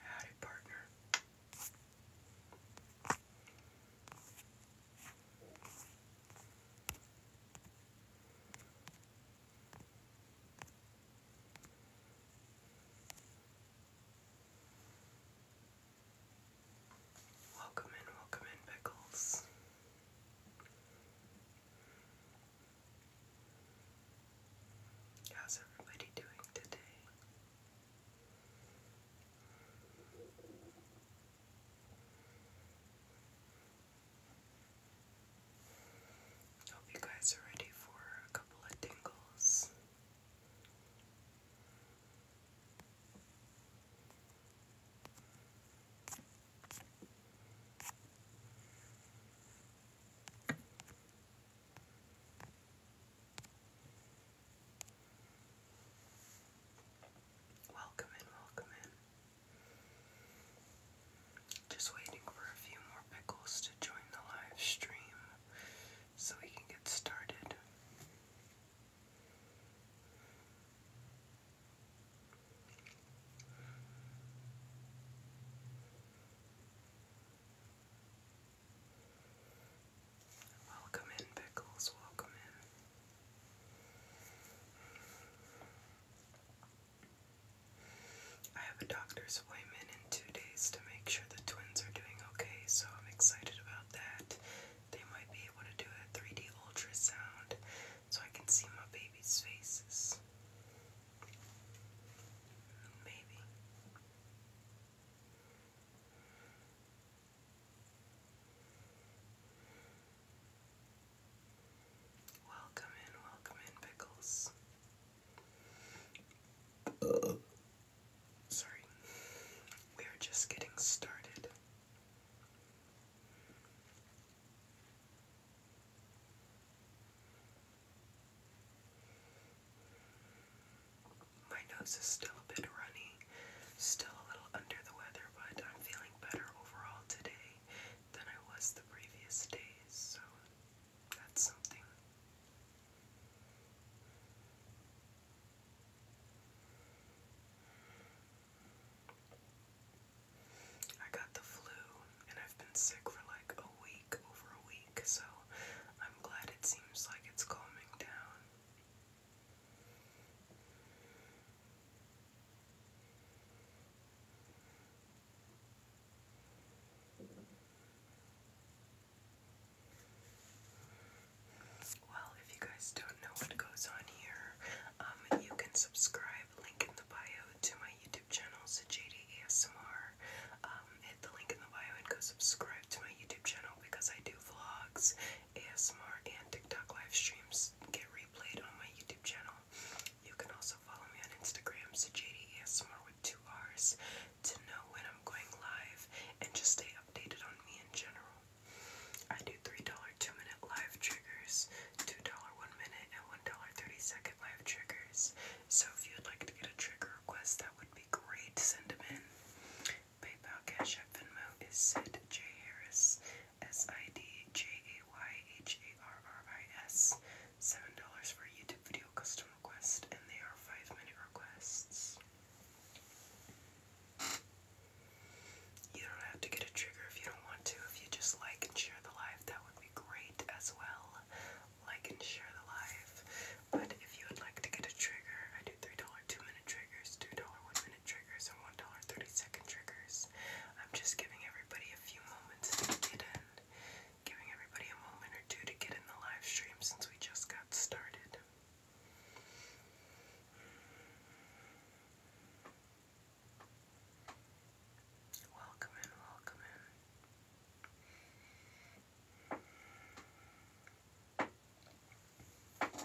Howdy, partner. Welcome in, welcome in, Pickles. How's everybody doing today? Hope you guys are ready for a couple of tingles. Welcome in, welcome in. Just waiting for a few more pickles to join the live stream so we can get started. Welcome in, Pickles, welcome in. I have a doctor's appointment in two days to make sure the twins are doing okay, so I'm excited about that they might be able to do a 3D ultrasound so I can see my baby's faces. Maybe. Welcome in, welcome in, Pickles. Uh, Sorry, we are just getting started. My nose is still a bit runny, still a little under the weather, but I'm feeling better overall today than I was the previous days, so that's something. I got the flu and I've been sick for like a week, over a week, so I'm glad it seems like it's calming down. Well, if you guys don't know what goes on here, um, you can subscribe, link in the bio, to my YouTube channel, Sajada ASMR. Um, hit the link in the bio and go subscribe to my YouTube channel because I do vlogs, ASMR, and TikTok live streams get replayed on my YouTube channel. You can also follow me on Instagram, Sajada ASMR with two R's, to know when I'm going live and just stay updated on me in general. I do $3 2 minute live triggers, $2 1 minute, and $1 30 second live triggers. So if you'd like to get a trigger request, that would be great. Send them in. PayPal Cash App Venmo is Sid J. Harris, S I D J A Y H A R R I S. $7 for YouTube video custom request, and they are 5 minute requests. You don't have to get a trigger if you don't want to. If you just like and share the live, that would be great as well. Like and share the live. But if you would like to get a trigger, I do $3 2 minute triggers, $2 1 minute triggers, and $1 30 second triggers. I'm just giving everybody a few moments to get in. Giving everybody a moment or two to get in the live stream since we just got started. Welcome in, welcome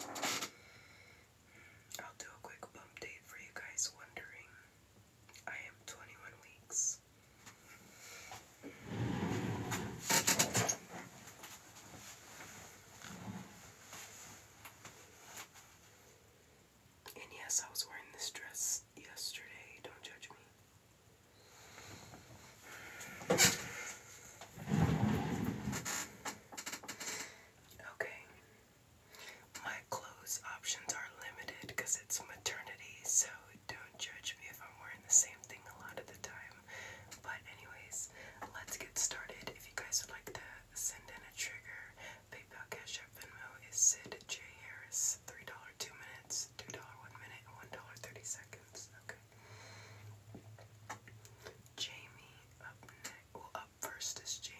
in. I'll do a quick bump for you guys wondering. I am 21 weeks. And yes, I was wearing this dress yesterday. Don't judge me. Okay. My clothes options are limited because it's maternity, so don't judge me if I'm wearing the same thing a lot of the time. But anyways, let's get started. If you guys would like to send in a trigger, PayPal Cash App Venmo is Sid J Harris. $3 two minutes, $2 one minute, and $1.30 seconds. Okay. Jamie up first is Jamie.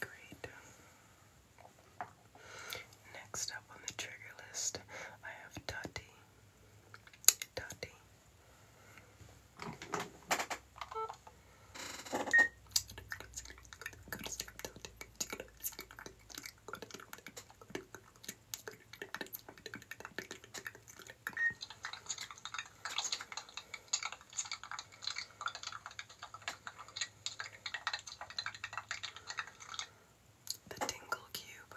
Great. Next up on the trigger list, I have Tati. Tati. The Tingle Cube.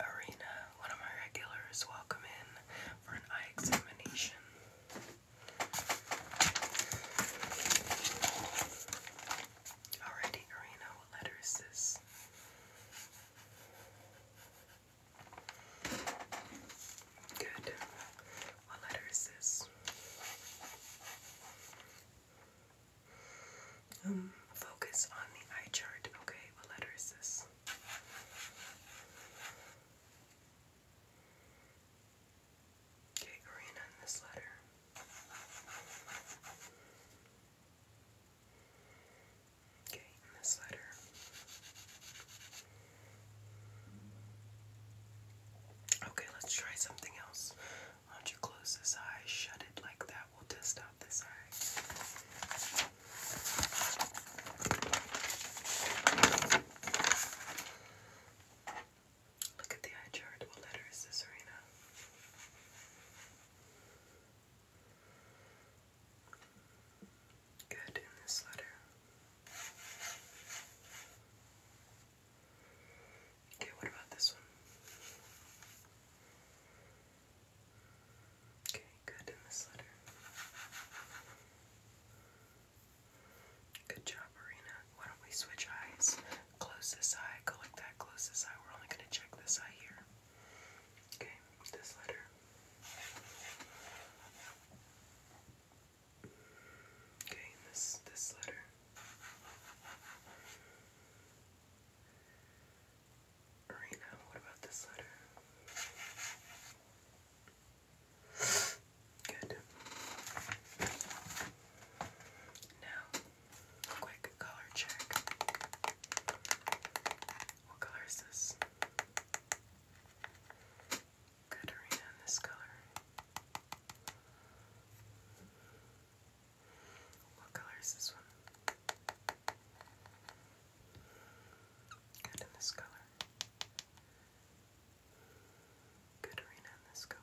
arena, one of my regulars welcome in for an eye examination. Alrighty, arena, what letter is this? Good. What letter is this? Um, focus on the eye chart. Okay, what letter is this? Okay, green on this letter. Okay, in this letter. Okay, let's try something else. Why don't you close this eye, shut it like that we will test out this eye. Look at the eye chart. What letter is this, Serena? Good in this letter. Okay, what about this Okay, good in this letter. Good job, Arena. Why do we switch eyes? Close this eye, go that, close this eye. We're only going to check this eye here. Okay, this letter. Okay, this this letter. Arena, what about this letter? Good. Now, quick color check. What color is this? Good arena this color. What color is this one? Good in this color. Good arena in this color.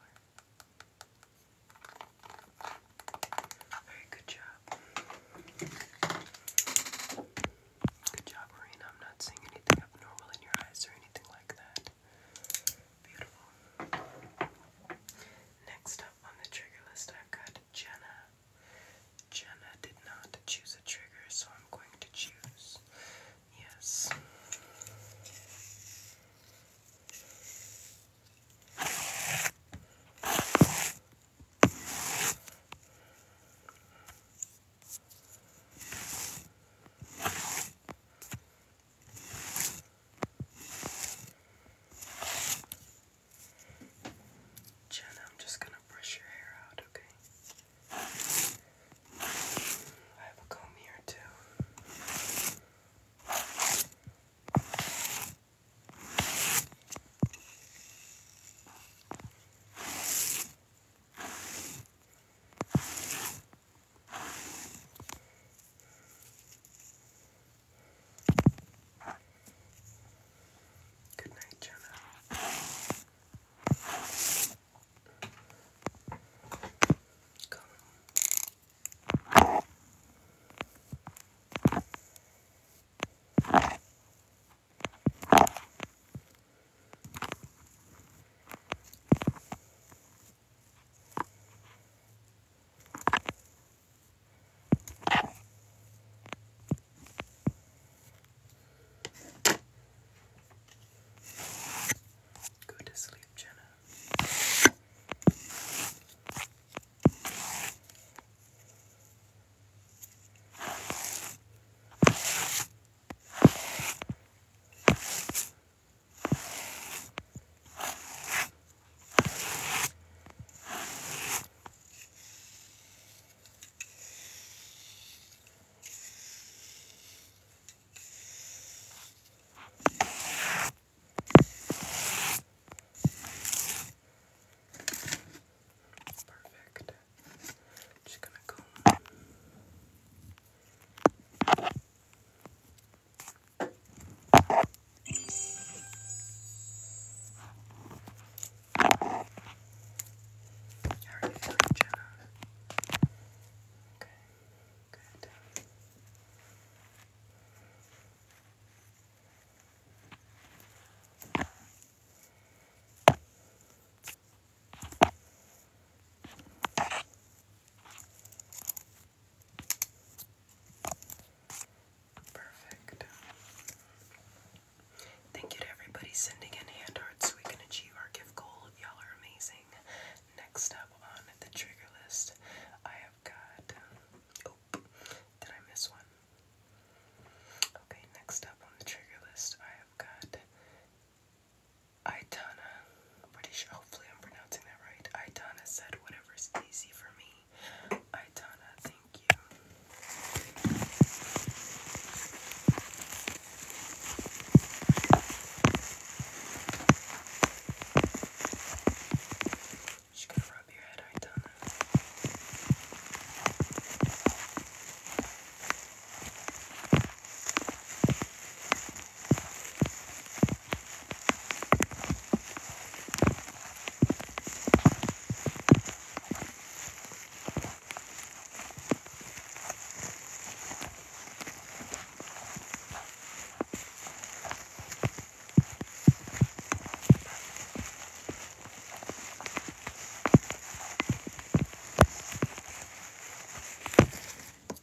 Very good job. Good job, Marina. I'm not seeing anything abnormal in your eyes or anything like that. Beautiful. Next up on the trigger list, I've got Jenna. Jenna did not choose a trigger, so I'm going to choose. Yes. Jenna, I'm just gonna brush your hair out, okay? I have a comb here too. Good night, Jenna. Come. Go to sleep, Jenna. Perfect. Just gonna comb. Perfect. How are you feeling, Jenna? Okay, good. Perfect. Thank you to everybody sending in hand hearts so we can achieve our gift goal. Y'all are amazing. Next up on the trigger list, I have got. Oh, did I miss one? Okay, next up on the trigger list, I have got Aitana. Pretty sure, hopefully, I'm pronouncing that right. Aitana said, Whatever's easy for me. Itana, thank you. Just gonna rub your head, Itana. Good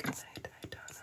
night, Idana.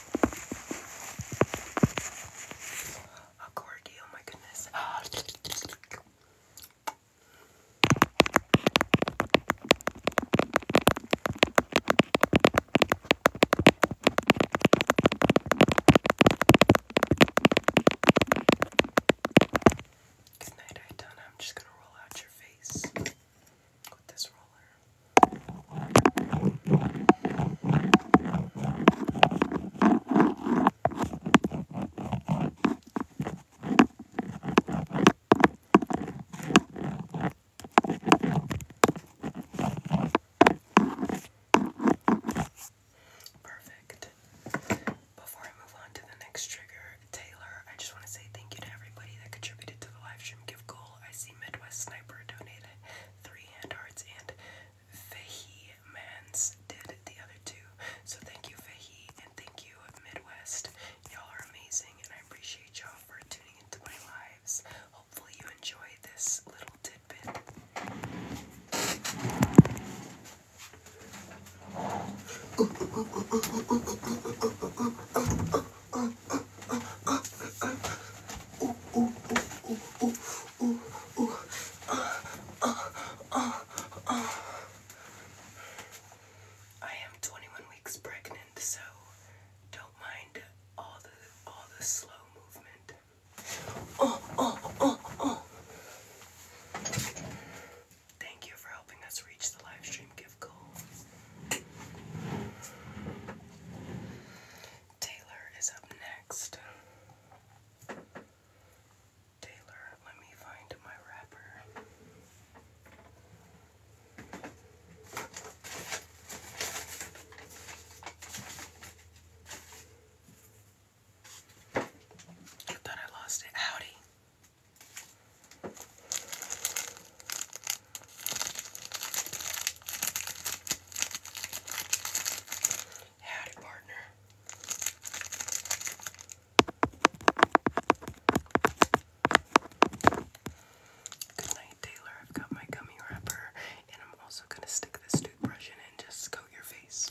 A corgi, oh my goodness. Good night, I'm just gonna roll out your face with this roller. Perfect. Before I move on to the next trigger, Taylor, I just want to say thank you to everybody that contributed to the live stream give goal. I see Midwest Sniper donated three hand hearts, and Fahy Mans did the other two. So thank you, Fahy, and thank you, Midwest. Y'all are amazing, and I appreciate y'all for tuning into my lives. Hopefully, you enjoyed this little tidbit. am 21 weeks pregnant, so don't mind all the all the slow movement. Oh, oh, oh, oh. Thank you for helping us reach the live stream gift goal. Taylor is up next. Taylor, let me find my wrapper. I thought I lost it. Howdy. Howdy, partner. Good night, Taylor. I've got my gummy wrapper, and I'm also gonna stick this toothbrush in and just coat your face.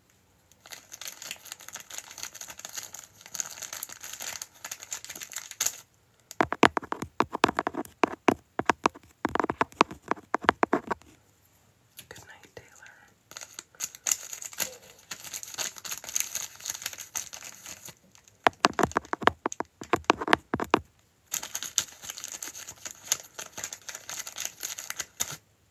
Good night, Taylor.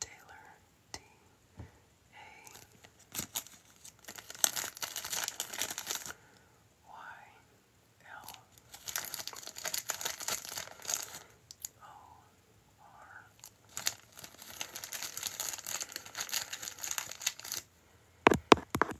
Taylor D. A. Y. L. O. R.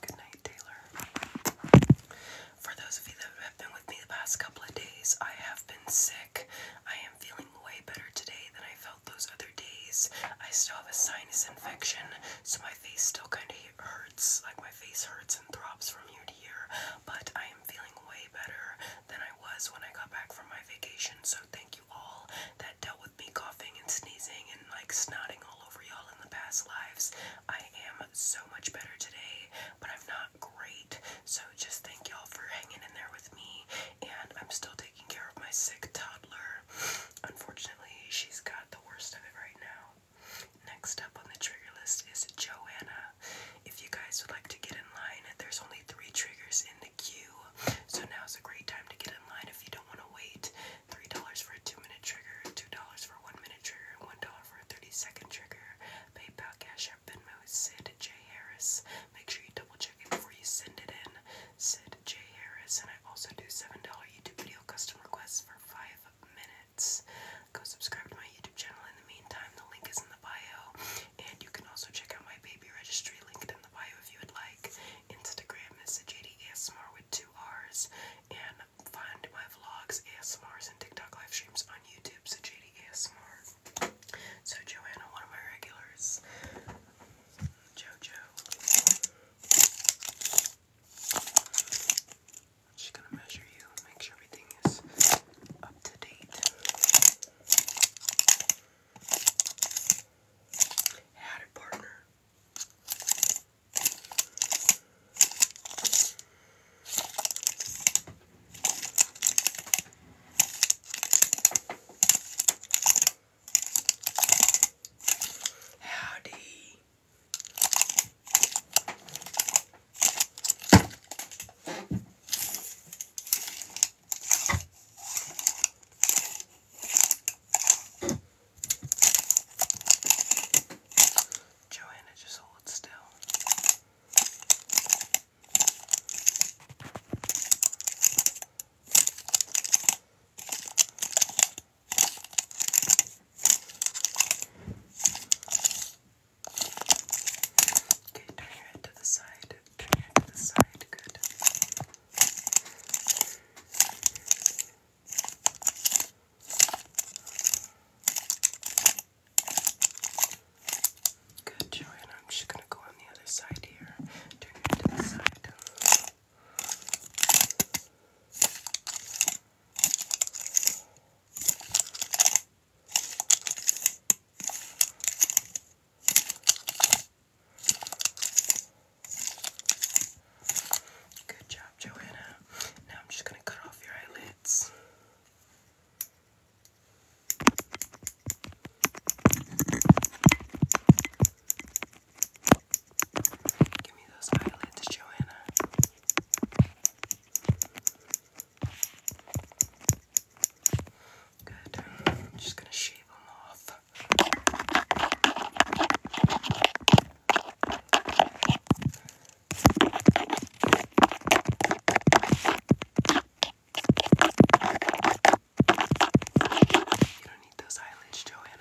Good night, Taylor. For those of you that have been with me the past couple of days, I have been sick. I am feeling way better today than I felt those other days. I still have a sinus infection, so my face still kind of hurts. Like my face hurts throbs from ear to ear, but I am feeling way better than I was when I got back from my vacation. So thank you all that dealt with me coughing and sneezing and like snorting all over y'all in the past lives. I am so much better today, but I'm not great. So just thank y'all for hanging in there with me. And I'm still taking care of my sick toddler. Unfortunately, she's got the worst of it right now. Next up on the trigger list is Joanna. If you guys would like to get in line, there's only three triggers in the queue, so now is a great time to get in line if you don't want to wait. $3 for a 2 minute trigger, $2 for a 1 minute trigger, and $1 for a 30 second trigger. PayPal, Cash App, Venmo, Sid J. Harris. Make sure you double check it before you send it in. Sid J. Harris, and I also do $7 YouTube video custom requests for 5 minutes. Go subscribe to my YouTube channel in the meantime. The link is in the bio. And you can also check out my baby registry linked in the bio if you would like. Instagram is JDASMR with two R's. And find my vlogs, ASMRs, and TikTok live streams on YouTube, so JDASMR. So Joanna, one of my regulars. Jojo. I'm Just gonna measure you, make sure everything is up to date. Had partner. Howdy. Joanna, just hold still. Okay, turn your head to the side. Turn your head to the side. Good. Good, Joanna. I'm just gonna go on the other side here. Turn your head to the side. Good job, Joanna. Now I'm just going to cut off your eyelids. Give me those eyelids, Joanna. Good. I'm just going to shave them off. You don't need those eyelids, Joanna.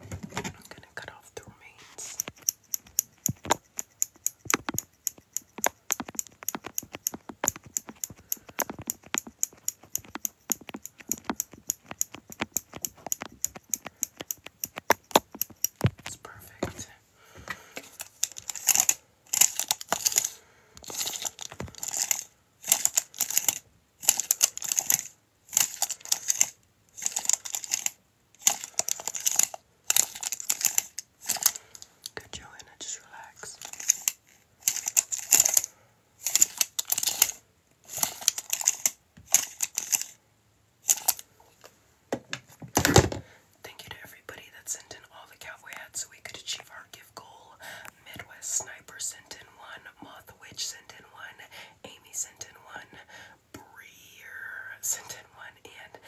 I'm gonna cut off the remains. It's perfect. Good, Joanna, just relax. Thank you to everybody that sent in all the cowboy hats so we could achieve our gift goal. Midwest Sniper sent in one, Moth Witch sent in one, Amy sent in one, Breer sent in one, and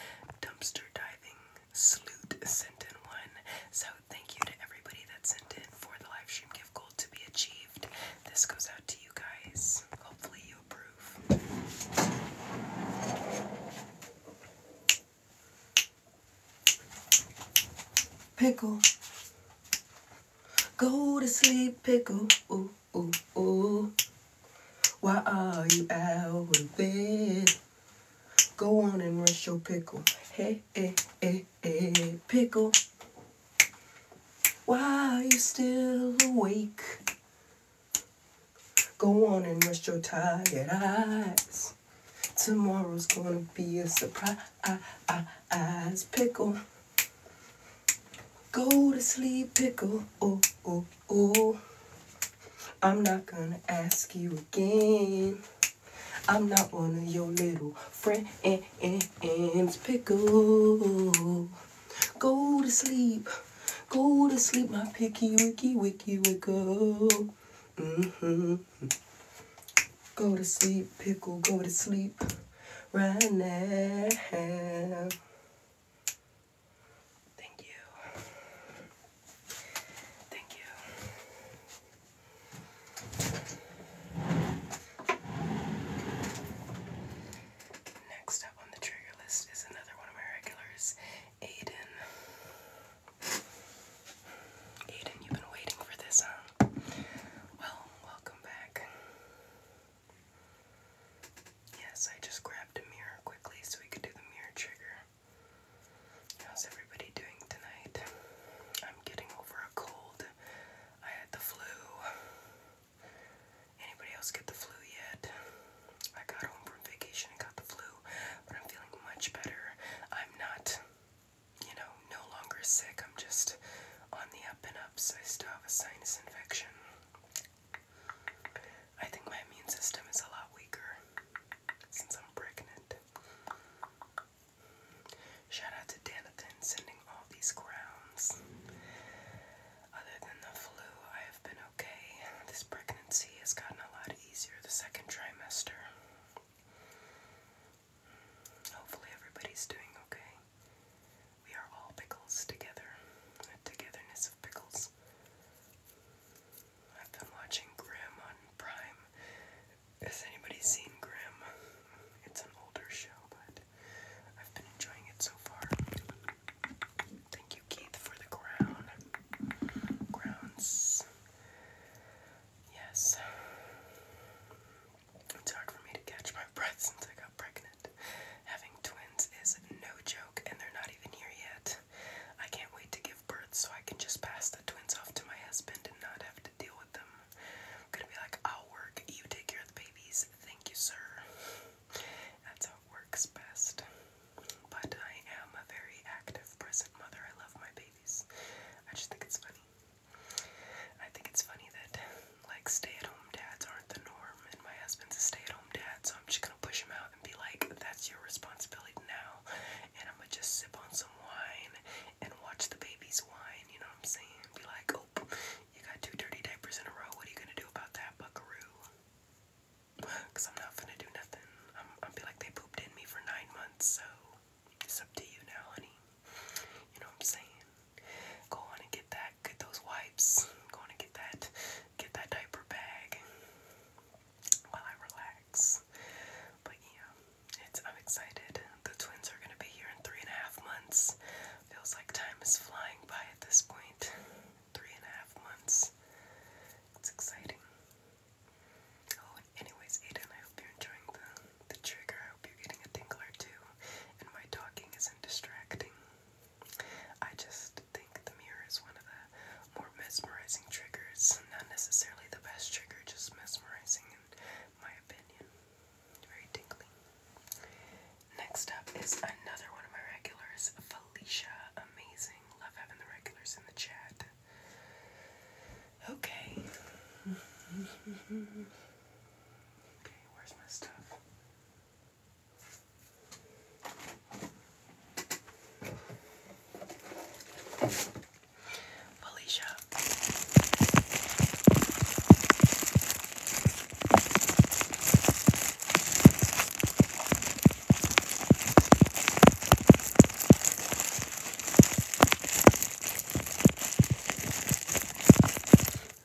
Dumpster Diving Sloot sent in one. So thank you to everybody that sent in for the live stream gift goal to be achieved. This goes out to you guys. Hopefully you approve. Pickle. Go to sleep, pickle. Ooh, ooh, ooh. Why are you out of bed? Go on and rush your pickle. Hey, hey, hey, hey, pickle. Why are you still awake? Go on and rest your tired eyes. Tomorrow's gonna be a surprise, pickle. Go to sleep, pickle. Oh, oh, oh. I'm not gonna ask you again. I'm not one of your little friends, pickle. Go to sleep. Go to sleep, my picky wicky wicky wicko. Mm-hmm. Go to sleep, pickle, go to sleep right now. Thank you. Thank you. Next up on the trigger list is another one of my regulars, Aiden. Aiden, you've been waiting for this, huh? Well, welcome back. Yes, I just grabbed a mirror quickly so we could do the mirror trigger. How's everybody doing tonight? I'm getting over a cold. I had the flu. Anybody else get the flu yet? I got home from vacation and got the flu, but I'm feeling much better. I'm not you know, no longer sick. I'm just on the up and up, so I still have a sinus infection. I think my immune system is a lot weaker since I'm pregnant. Shout out to Danathan sending all these crowns. Other than the flu, I have been okay. This pregnancy has gotten a lot easier the second trimester. Hopefully, everybody's doing okay. We are all pickles together, togetherness of pickles. I've been watching Grimm on Prime. Has anybody seen Grimm? It's an older show, but I've been enjoying it so far. Thank you, Keith, for the crown. Grounds. Yes. It's hard for me to catch my breath since I got pregnant. Having twins is no joke, and they're not even here yet. I can't wait to give birth so I can just pass the twins off to my husband and not have to deal with them. gonna be like, I'll work, you take care of the babies, thank you, sir. That's how it works best. But I am a very active, present mother. I love my babies. I just think it's funny. I think it's funny that like stay-at-home dads aren't the norm, and my husband's a stay-at-home dad, so I'm just gonna push him out and be like, "That's your responsibility now," and I'm gonna just sip on some wine and watch the babies whine. You know what I'm saying? Be like, "Oh, you got two dirty diapers in a row. What are you gonna do about that, Buckaroo?" Cause I'm not gonna do nothing. I'm, I'm be like, "They pooped in me for nine months, so it's up to you now, honey." You know what I'm saying? Go on and get that, get those wipes. Go on and get that, get that diaper bag while I relax. But yeah, it's I'm excited. The twins are gonna be here in three and a half months. Feels like time is flying by at this point. Three and a half months. It's exciting. Oh, anyways, Aiden, I hope you're enjoying the the trigger. I hope you're getting a tingle or two, and my talking isn't distracting. I just think the mirror is one of the more mesmerizing triggers. Not necessarily the best trigger, just mesmerizing in my opinion. Very tingly. Next up is another one of my regulars, Felicia. Amazing. Love having the regulars in the chat. Okay. Okay, where's my stuff? Felicia.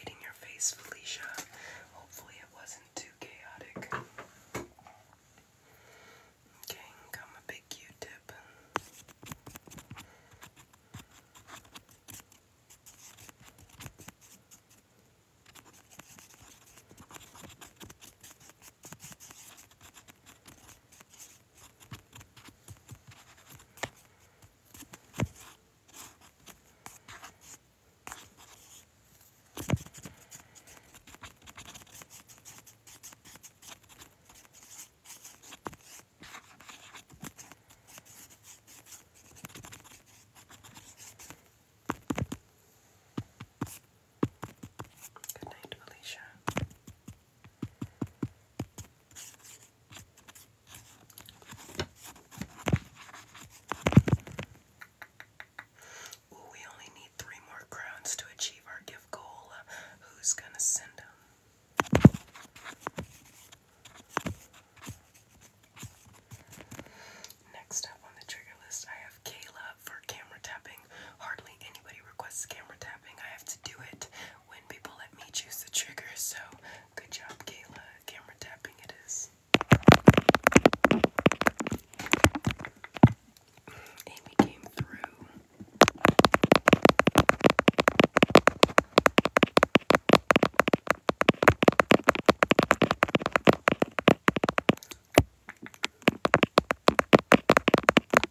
Eating your face, Felicia. Hopefully, it wasn't too chaotic. Okay, got my big Q-tip. Okay. Good night, Alicia. Ooh, we only need three more crowns to achieve our gift goal. Uh, who's gonna send them? Next up on the trigger list, I have Kayla for camera tapping. Hardly anybody requests camera tapping. I have to do it when people let me choose the trigger, so good job, Kayla. Camera tapping it is. Amy came through.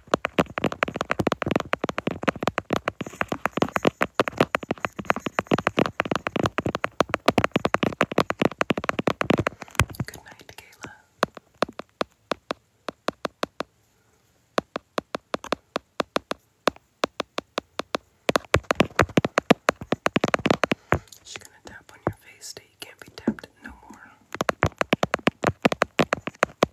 Good night, Kayla. She's gonna tap on your face till you can't be tapped no more.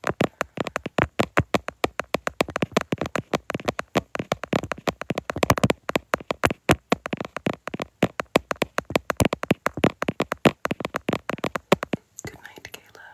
Good night, Kayla.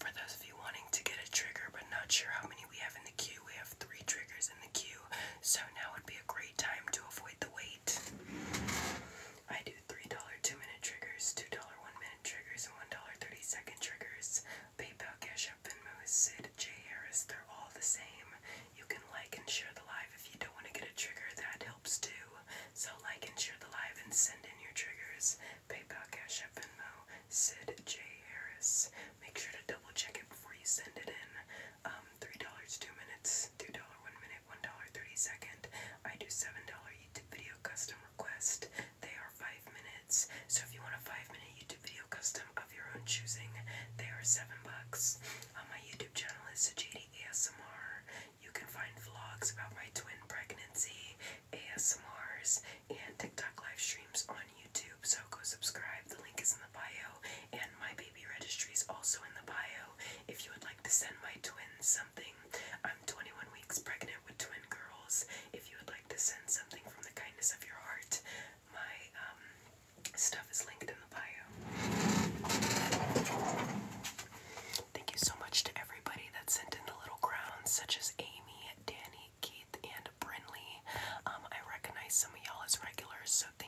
For those of you wanting to get a trigger but not sure how many we have in the queue, we have three triggers in the queue. So now would be a great time to avoid the wait. I do $3 two minute triggers, $2 one minute triggers, and $1 30 second triggers. PayPal, Cash App, Venmo, Sid, J. Harris, they're all the same. You can like and share the live if you don't want to get a trigger, that helps too. So like and share the live and send in your triggers. PayPal, Cash App, Venmo, Sid, J. Harris. Make sure to double check it before you send it in um, $3 2 minutes, $2 1 minute, $1 30 second. I do $7 YouTube video custom request. They are 5 minutes. So if you want a 5 minute YouTube video custom of your own choosing, they are 7 bucks. On uh, my YouTube channel is JD ASMR. You can find vlogs about my twin pregnancy, ASMRs, and TikTok live streams on YouTube. So go subscribe. The link is in bio, and my baby registry is also in the bio. If you would like to send my twins something, I'm 21 weeks pregnant with twin girls. If you would like to send something from the kindness of your heart, my um, stuff is linked in the bio. Thank you so much to everybody that sent in the little crowns, such as Amy, Danny, Keith, and Brinley. Um, I recognize some of y'all as regulars, so thank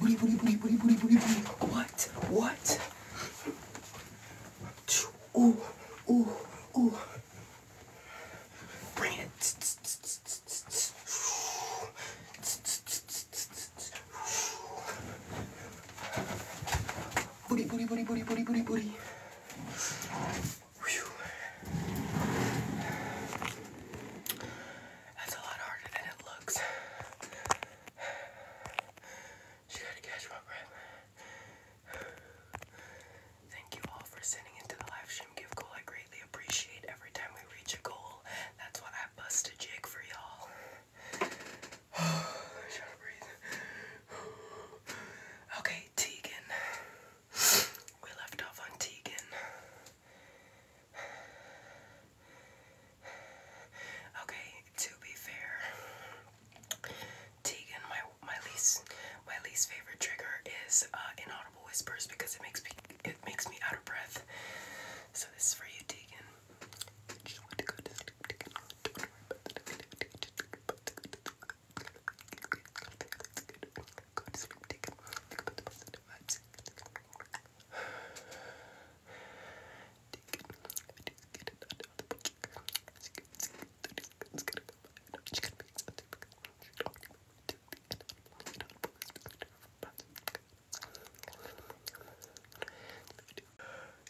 Woody, woody, woody, woody, woody, woody, woody. What? What? Ooh, ooh, ooh. Bring it. Booty, booty, booty, booty, booty, booty, booty. That's a lot harder than it looks. She had to catch my breath. Thank you all for sending into the live stream give goal. I greatly appreciate every time we reach a goal. That's why I busted Jake for y'all. Okay, Tegan. We left off on Tegan. Okay, to be fair, Tegan, my my least my least favorite trigger is uh, inaudible whispers because it makes me it makes me out of breath. So this is for you, Tegan.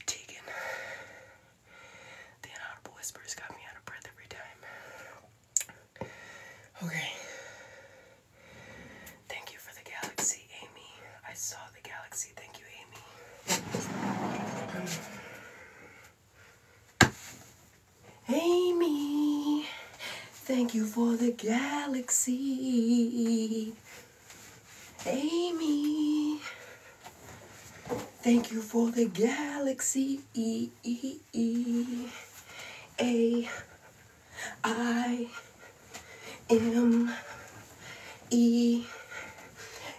Tegan, the inaudible whispers got me out of breath every time. Okay. Thank you for the galaxy, Amy. I saw the galaxy. Thank you, Amy. Amy, thank you for the galaxy. Amy, thank you for the galaxy. A, I. M E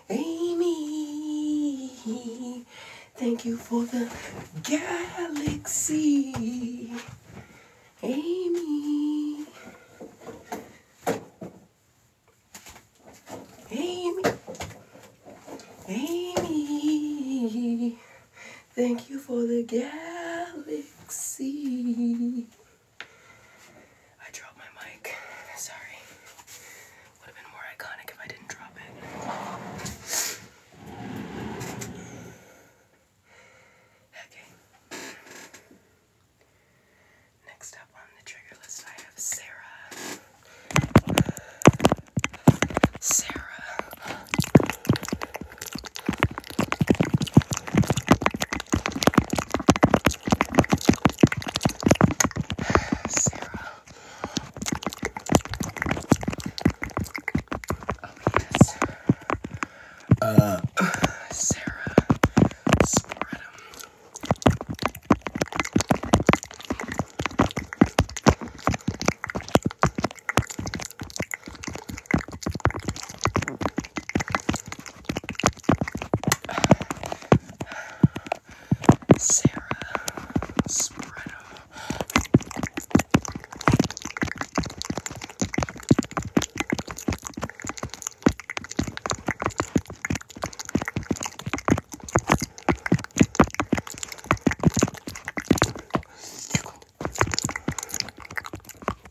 Amy. Thank you for the galaxy. Amy. Amy. Amy. Thank you for the galaxy. I dropped my mic. Sorry. Would have been more iconic if I didn't drop it. Okay. Next up on the trigger list, I have Sarah. Sarah. Sarah. Oh yes. Uh, Sarah. Spread Sarah Spreader.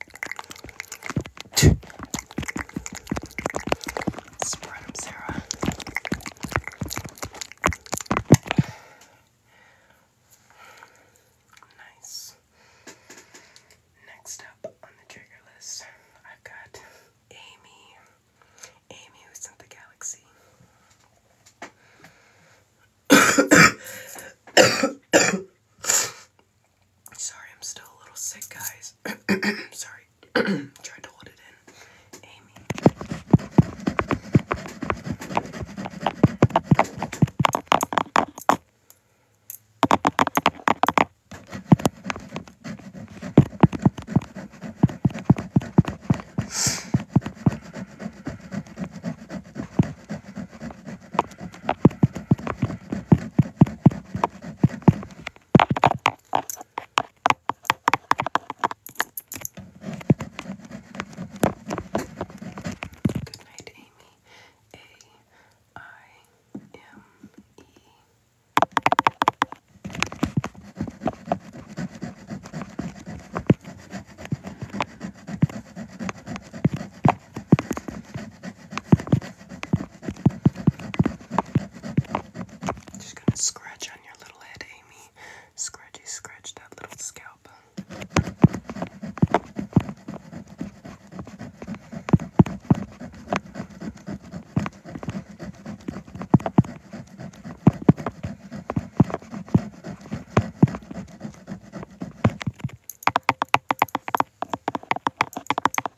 Spread them, Sarah. Nice. Next up on the trigger list, I've got Amy. Amy who sent the galaxy. Sorry, I'm still a little sick, guys. Sorry. trying to hold it in. Amy. Good night, Amy. A I M E. Just gonna scratch on your little head, Amy. Scratchy, scratch that little scalp.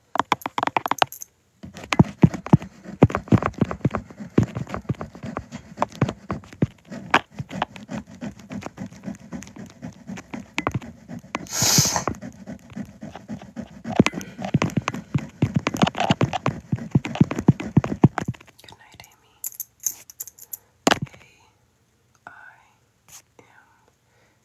Good night, Amy. A I M E A I M E.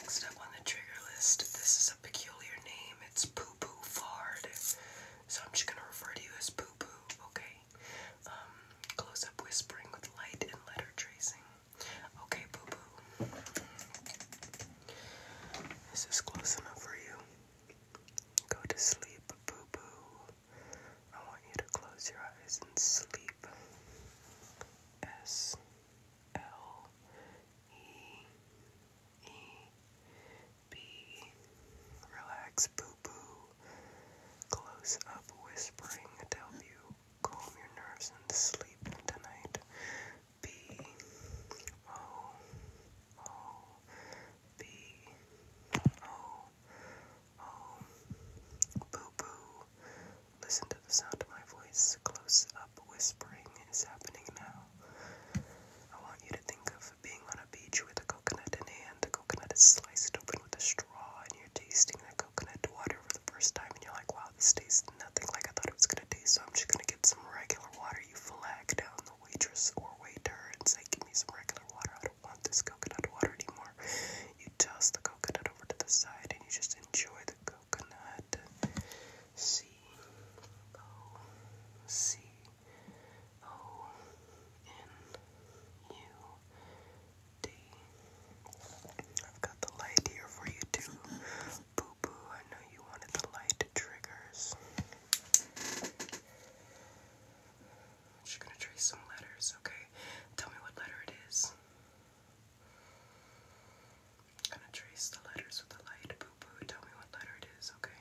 Next up on the trigger list, this is a peculiar name. It's Poo Fard. So I'm just gonna refer to you as Poo Poo, okay? Um, close up whispering with light and letter tracing. Okay, boo boo. This is close enough for you. Go to sleep, boo boo. I want you to close your eyes and sleep. S L E E B. Relax, boo boo. Close up whispering to help you calm your nerves and sleep tonight. B O O B O O Boo Boo. Listen to the sound of my voice. Close up whispering is happening now. I want you to think of being on a beach with a coconut in hand. The coconut is sliced open with a straw, and you're tasting the coconut water for the first time, and you're like, wow wow, this tastes nothing like I thought it was gonna taste, so I'm just gonna get some regular water. You flag down the waitress or waiter and say, Give me some regular water. I don't want this coconut water anymore. You toss the coconut over to the side and you just enjoy the coconut. C O C O N U D I've got the light here for you too. Boo I know you wanted the light triggers. I'm gonna trace some letters, okay? Tell me what letter its I'm gonna trace the letters with the light. Boo tell me what letter it is, okay?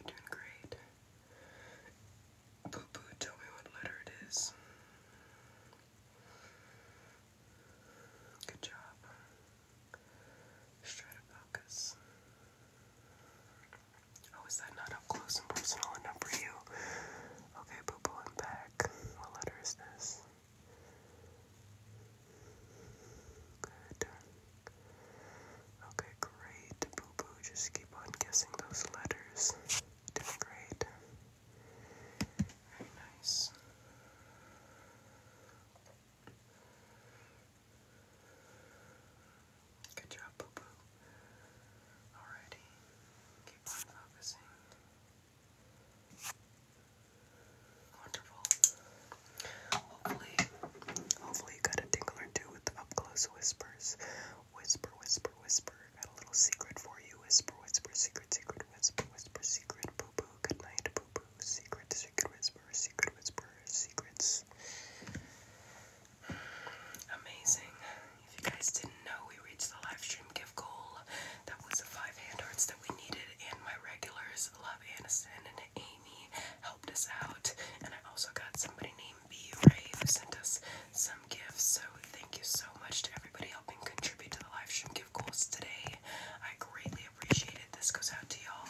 You're doing great. Poopoo, tell me what letter it is. Good job. Straight to focus. Oh, is that not up close and personal enough for you? Okay, Boo I'm back. What letter is this? Good. Okay, great. Boo just keep on guessing those letters. great. Very nice. Good job, Boo Boo. keep on focusing. Wonderful. Hopefully, hopefully you got a tingle or two with the up close whispers. Whisper, whisper, whisper. Got a little secret for you. Whisper, whisper, secret, secret, whisper, whisper, secret, poo good night, poo secret, secret, whisper, secret, whisper, secrets. Amazing. If you guys didn't know, we reached the live stream gift goal. That was the five hand arts that we needed, and my regulars, Love Aniston and Amy, helped us out. And I also got somebody named B Ray who sent us some gifts. So thank you so much to everybody helping contribute to the live stream gift goals today. I greatly appreciate it. This goes out to y'all.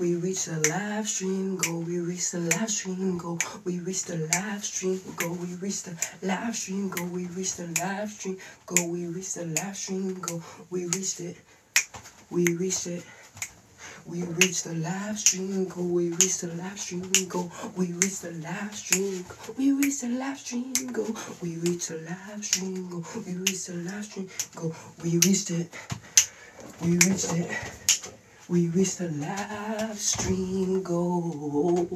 We reach the live stream goal. We reach the live stream goal. We reach the live stream goal. We reach the live stream goal. We reach the live stream goal. We reach the live stream goal. We reached it. We reached it. We reached the live stream Go. We reached the live stream Go. We reached the live stream. We reached the live stream Go. We reached the live stream goal. We reached the live stream goal. We reached it. We reached it. We reached the live stream Go.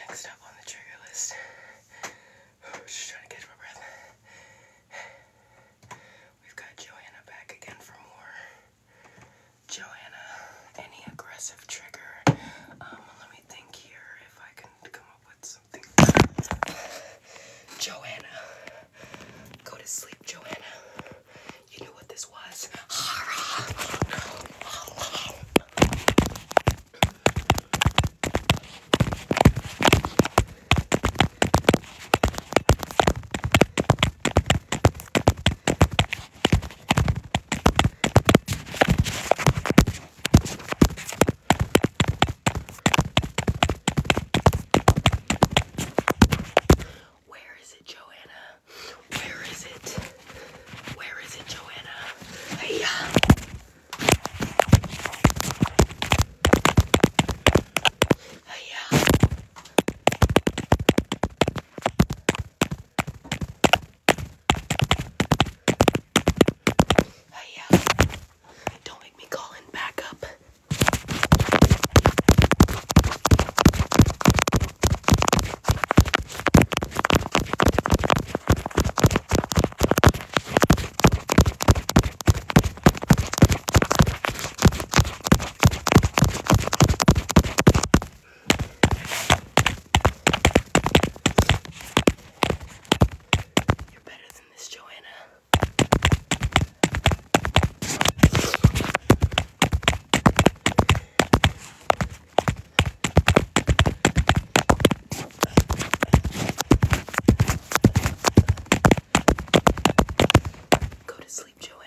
Next up on the trigger list, just trying to catch my breath. We've got Joanna back again for more. Joanna, any aggressive trigger? Um, let me think here if I can come up with something. Joanna. Go to sleep, Joanna. You knew what this was. Where is it, Joanna? Where is it? Where is it, Joanna? Hey, uh. hey, uh. Hey, uh. don't make me call in backup. You're better than this, Joanna. Go to sleep, Joanna.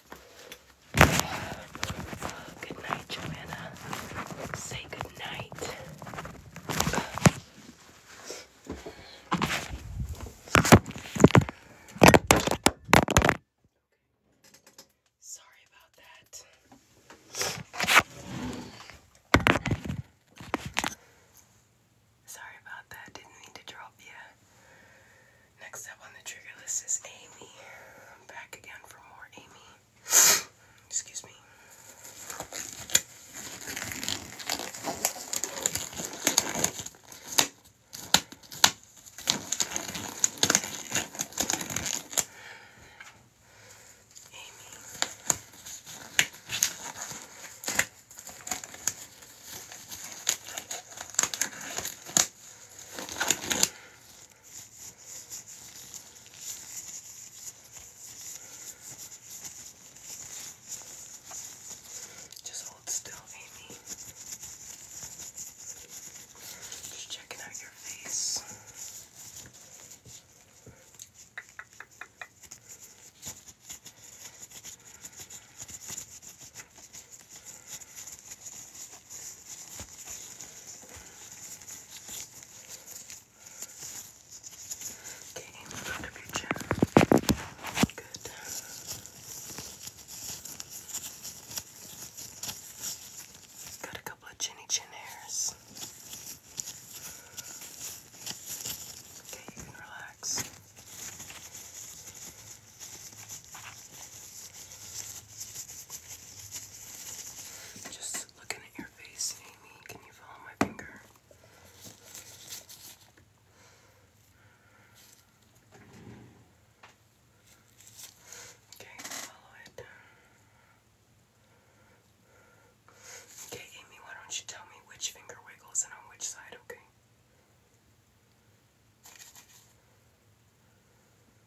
Good night, Joanna. Say good night. Sorry about that. Sorry about that. Didn't mean to drop you. Next up on the trigger list is Amy. back again for more Amy. Excuse me. Amy. Just hold still, Amy. Just checking out your face. Okay, in front of your chin. Good. Got a couple of chinny chin hairs. Okay, you can relax. Just looking at your face, Amy. Can you follow my finger? Okay, follow it. Okay, Amy, why don't you tell me which finger wiggles and on which side, okay?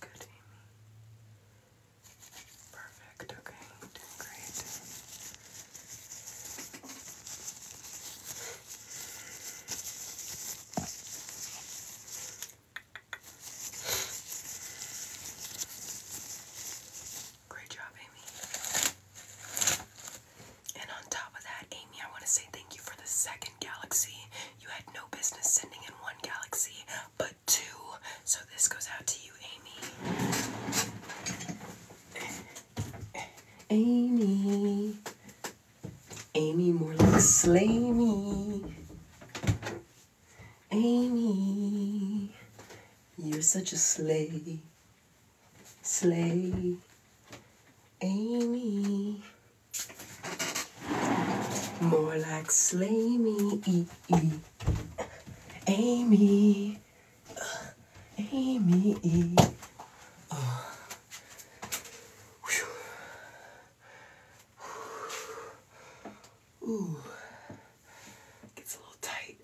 Good, Amy. Perfect, okay, doing great. Great job, Amy. And on top of that, Amy, I want to say thank you for the second galaxy. You had no business sending in one galaxy, but two. So this goes out to you, Amy. Amy. Amy, more like slay me. Amy, you're such a slay. Slay. Amy, more like slay me, e -e. Amy, uh, Amy. E. Uh. gets a little tight.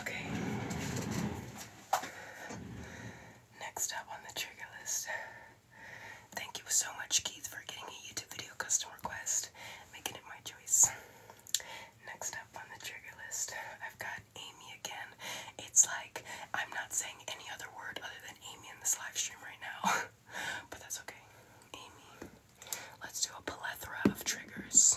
Okay. Next up on the trigger list. Thank you so much, Keith, for getting a YouTube video custom request, making it my choice. Next up on the trigger list, I've got Amy again. It's like I'm not saying any other word other than Amy in this live stream right now, but that's okay. Amy, let's do a plethora of triggers.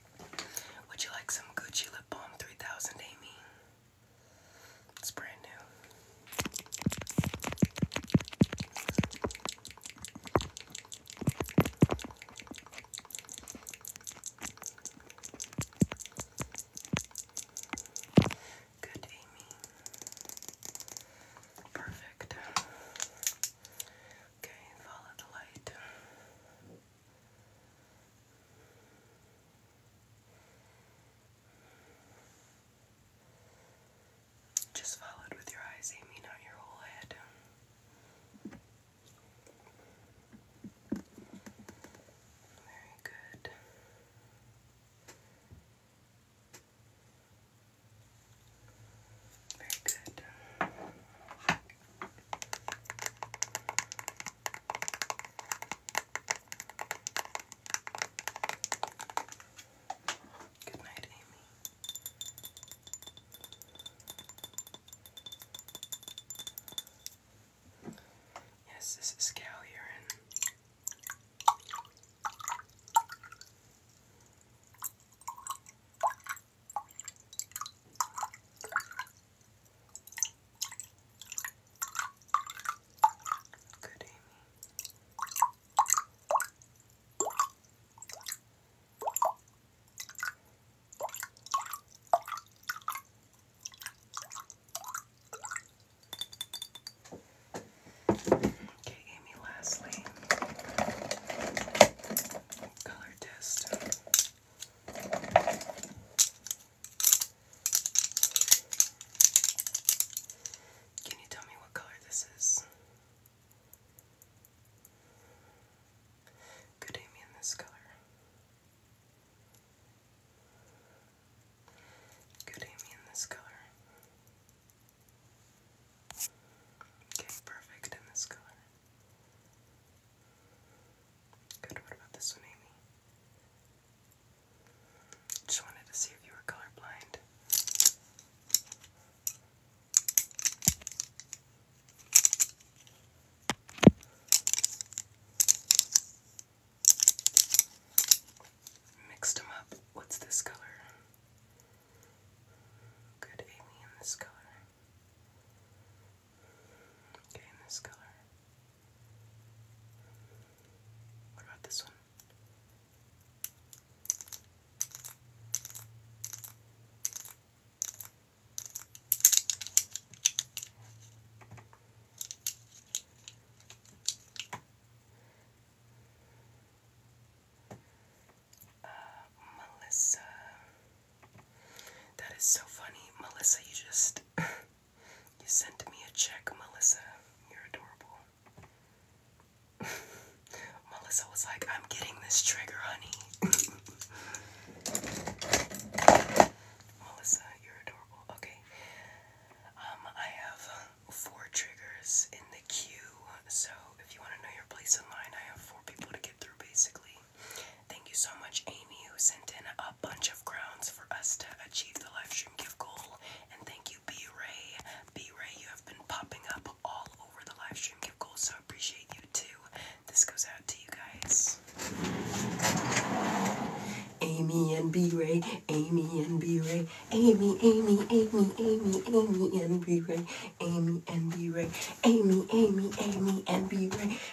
Would you like some Gucci Lip Balm 3000, Amy? It's brand new. Good, Amy. Perfect. Okay, follow the light. Just followed with your eyes, aiming not your whole head. Very good. Very good. Good night, Amy. Yes, this is cow urine. Good, Amy. Okay, Amy, lastly, color test. Can you tell me what color this is? Could I in this color? Good Amy in this color. Okay, perfect in this color. Good, what about this one, Amy? Just wanted to see if you were colorblind. Mixed them up. What's this color? Good, Amy, in this color. Okay, this color. What about this one? Uh, Melissa that is so funny. Melissa, you just you sent me a check, Melissa. You're adorable. Melissa was like, I'm getting this trigger, honey. Melissa, you're adorable. Okay. Um, I have four triggers in the queue, so if you want to know your place in line, I have four people to get basically. Thank you so much, Amy, who sent in a bunch of crowns for us to achieve the livestream stream gift goal. And thank you, B Ray. B Ray, you have been popping up all over the livestream stream gift goal, so appreciate you too. This goes out to you guys. Amy and B Ray, Amy and B Ray, Amy, Amy, Amy, Amy, Amy and B Ray, Amy and B Ray, Amy, Amy, Amy and B Ray,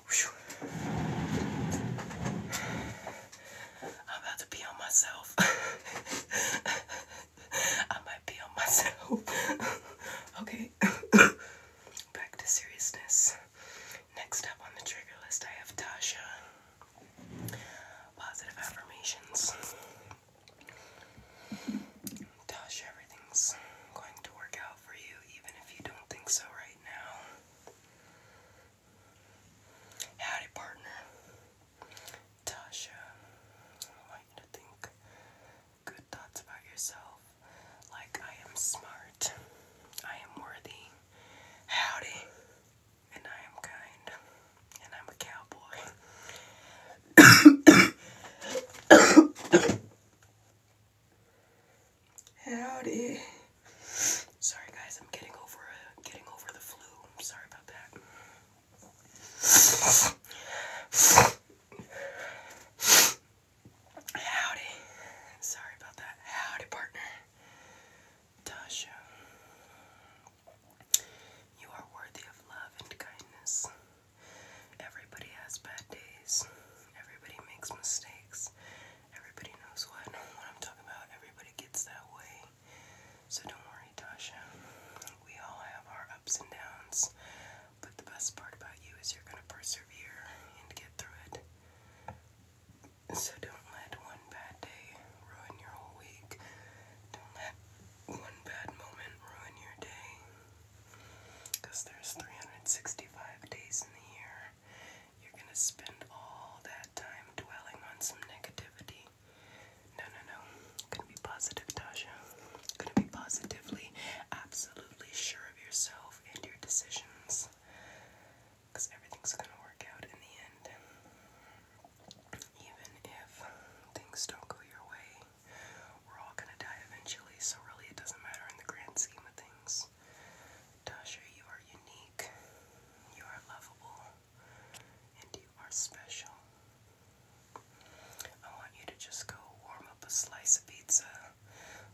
I'm about to pee on myself. I might pee myself. okay. Back to seriousness. Next up on the trigger list, I have Tasha. Positive affirmations. Tasha, everything's going to work out for you, even if you don't think so right now. Howdy, partner. Tasha, I want to think good thoughts about yourself. Like, I am smart, I am worthy. Howdy, and I am kind, and I'm a cowboy. Howdy. Sorry guys, I'm getting over uh, getting over the flu. sorry about that. Howdy. Sorry about that. Howdy partner. Tasha. You are worthy of love and kindness. Everybody has bad days. Everybody makes mistakes. Everybody knows what I am talking about. Everybody gets that way. So don't worry, Tasha. We all have our ups and downs. But the best part about you is you're gonna persevere and get through it. So don't let one bad day ruin your whole week. Don't let one bad moment ruin your day. Because there's 365 days in the year. You're gonna spend all that time dwelling on some negativity. No, no, no. Gonna be positive, Tasha. Gonna be positively, absolutely sure of yourself and your decisions. Because everything's gonna work out in the end. Even if things don't go your way, we're all gonna die eventually, so really it doesn't matter in the grand scheme of things. Tasha, you are unique, you are lovable, and you are special. I want you to just go warm up a slice of pizza,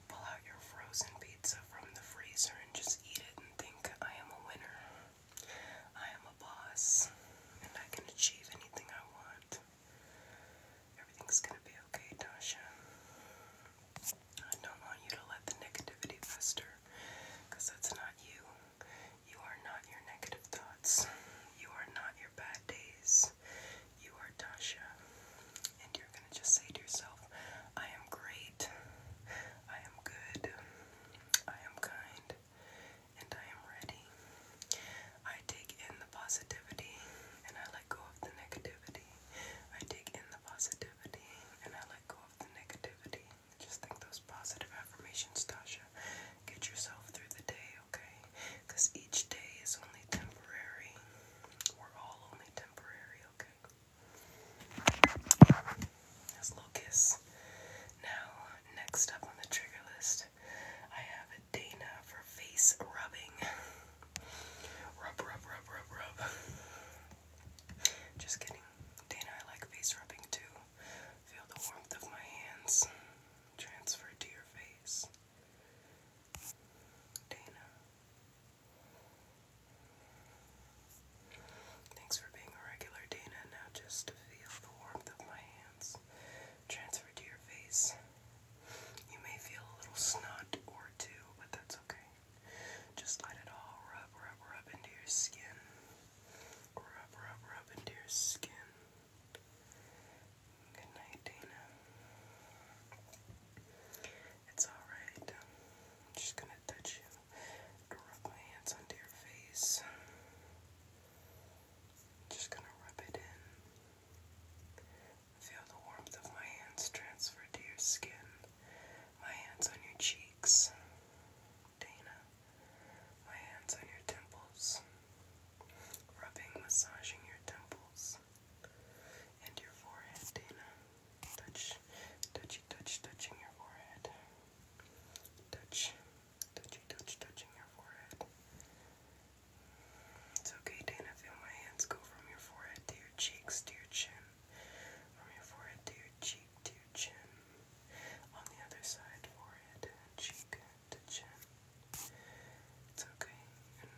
pull out your frozen pizza from the freezer, and just eat it and think, I am a winner. I am a boss, and I can achieve anything I want. Everything's gonna be okay, Tasha. I don't want you to let the negativity fester because that's not you. You are not your negative thoughts. You are not your bad days. You are Tasha. And you're going to just say to yourself, I am great. I am good. I am kind. And I am ready. I take in the positivity and I let go of the negativity. I take in the." positivity and I let go of the negativity. Just think those positive affirmations, Tasha. Get yourself through the day, okay? Because each day is only temporary. We're all only temporary, okay? That's a Now, next up on the trigger list, I have Dana for face rubbing. Rub, rub, rub, rub, rub. Just kidding. Dana, I like face rubbing too. Feel the warmth of my hands transfer to your face. Dana. Thanks for being a regular, Dana. Now just feel the warmth of my hands transfer to your face. You may feel a little snot or two, but that's okay. Just let it all rub, rub, rub into your skin. Rub, rub, rub into your skin. Good night, Dana. It's alright. I'm just gonna touch you. Rub my hands onto your face. I'm just gonna rub it in. Feel the warmth of my hands transfer to your skin, my hands on your cheeks, Dana, my hands on your temples, rubbing, massaging your temples and your forehead, Dana. Touch, touchy, touch, touching your forehead. Touch, touchy, touch, touching your forehead. It's okay, Dana. Feel my hands go from your forehead to your cheeks to your chin from your forehead to your cheek to chin. On the other side, forehead cheek to chin. It's okay.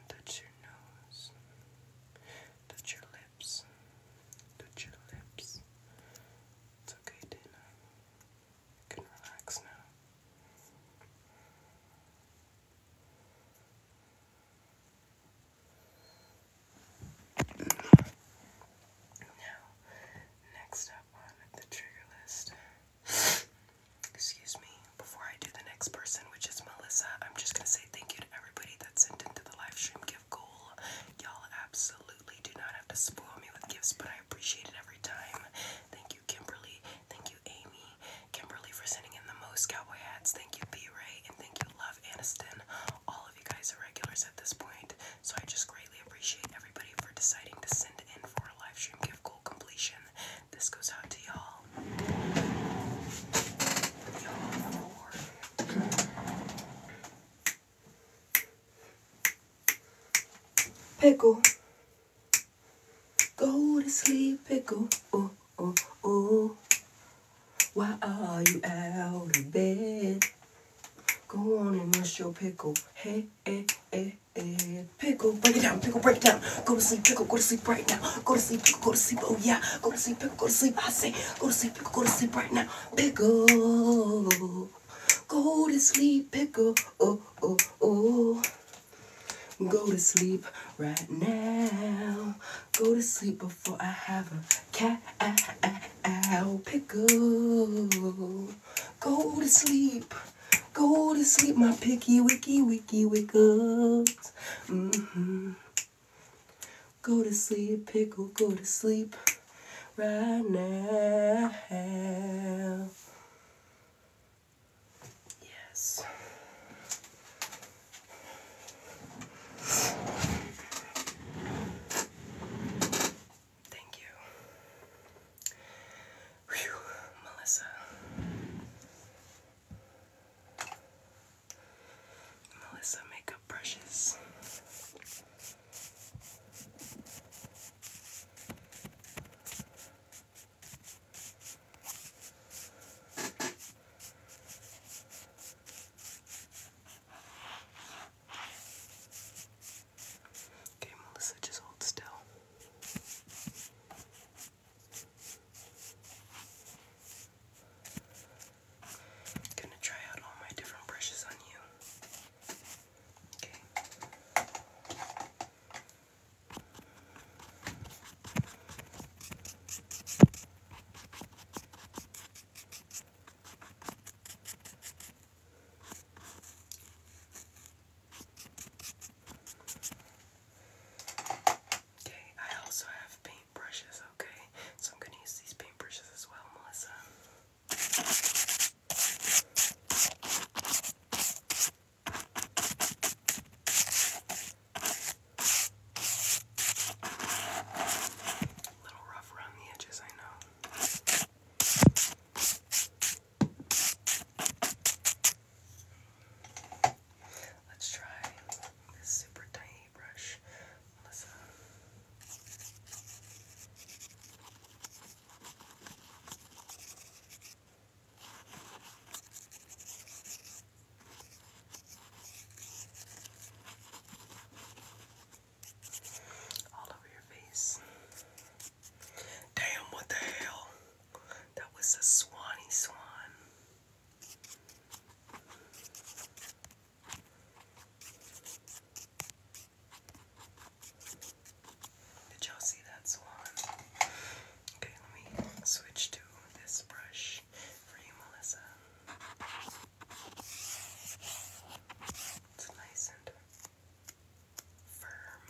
touch your nose. Touch your lips. Touch your lips. It's okay, Dana. You can relax now. Now, next up on the trigger list, excuse me, before I do the next person, which is Melissa, I'm just gonna say thank you to everybody that sent in to the live stream gift goal. Y'all absolutely do not have to spoil me with gifts, but I appreciate it every time. Thank you, Kimberly. Thank you, Amy. Kimberly, for sending in the most cowboy hats. Thank you, B Ray, and thank you freaking love Aniston. All of you guys are regulars at this point, so I just greatly appreciate everybody for deciding to send in for a live stream gift goal completion. This goes out to y'all. Pickle. Go to sleep, pickle. Oh, oh, oh. Why are you out of bed? Go on and rush your pickle. Hey, hey, eh, eh, hey, eh, hey. Pickle, break it down, pickle, break it down. Go to sleep, pickle, go to sleep right now. Go to sleep, go to sleep, oh yeah. Go to sleep, pickle, go to sleep, I say. Go to sleep, pickle, go to sleep right now. Pickle. Go to sleep, pickle, oh, oh, oh. Go to sleep right now. Go to sleep before I have a cat owl pickle. Go to sleep. Go to sleep, my picky wicky wicky wickles. Mm-hmm. Go to sleep, pickle, go to sleep right now. Yes. Thank you. Melissa. Melissa makeup brushes. Okay, Melissa, just hold still. gonna try out all my different brushes on you. Okay. Okay, I also have paint brushes, okay? So I'm going to use these paint brushes as well, Melissa. Okay. A little rough around the edges, I know. Let's try this super tiny brush. Melissa. Okay. All over your face. Damn, what the hell? That was a swanny swan. Did y'all see that swan? Okay, let me switch to this brush for you, Melissa. It's nice and firm.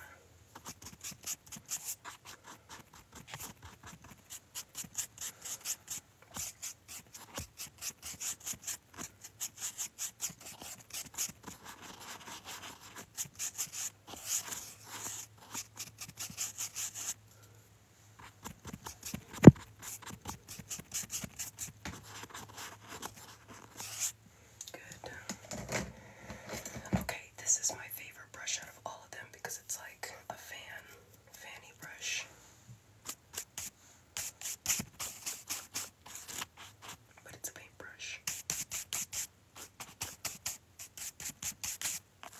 Good. Okay, this is my favorite brush out of all of them because it's like a fan, fanny brush. But it's a paintbrush. What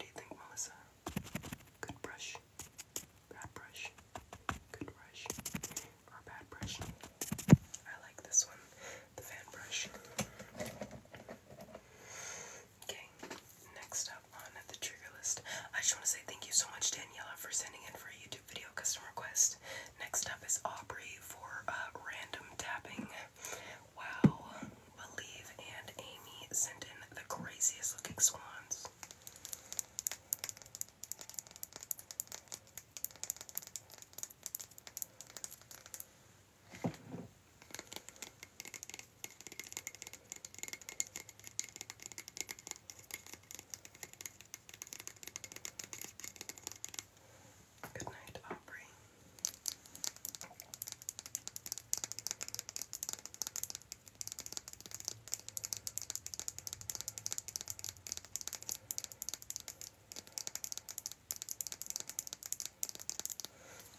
do you think, Melissa? Good brush, bad brush, good brush, or bad brush? I like this one, the fan brush. Okay, next up on the trigger list, I just want to say thank you so much, Daniela, for sending in for a YouTube video custom request. Next up is Aubrey for uh, random tapping. Wow, Believe and Amy sent in the craziest looking swans. Good night, Aubrey.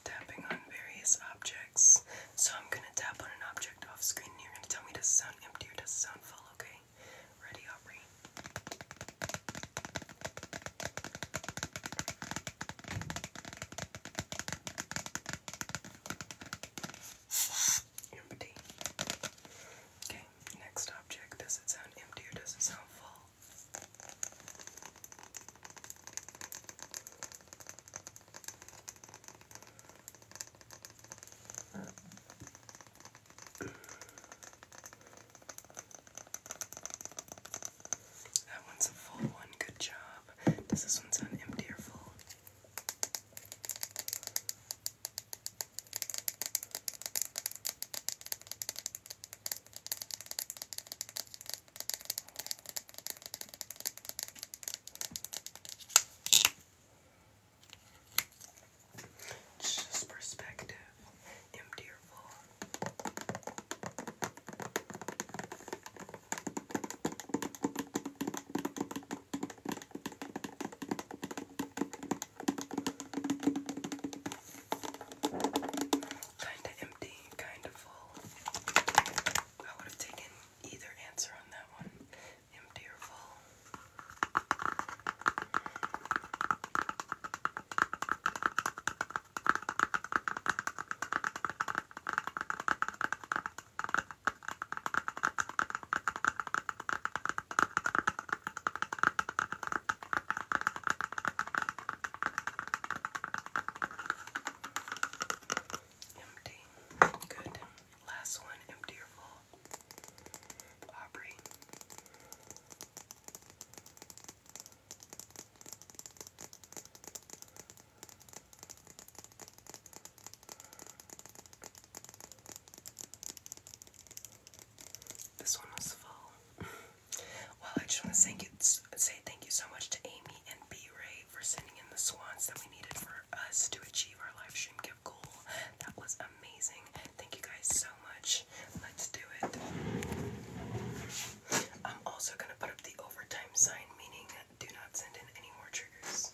Tapping on various objects so I'm gonna tap on an object off screen and you're gonna tell me does it sound empty or does it sound full, okay? Ready, Aubrey? Empty. Okay, next object. Does it sound empty or does it sound full? That one's a full one, good job. Does this one sound empty or full? just perspective, endearful. Kind of empty, kind of full. I would have taken either answer on that one. Empty or full. Empty. Good. Last one, empty or full? Aubrey. This one was full. well, I just want to say, say thank you so much to Amy and B Ray for sending in the swans that we needed for us to achieve our livestream gift goal. That was amazing. Thank you guys so much. Let's do it. I'm also going to put up the overtime sign, meaning do not send in any more triggers.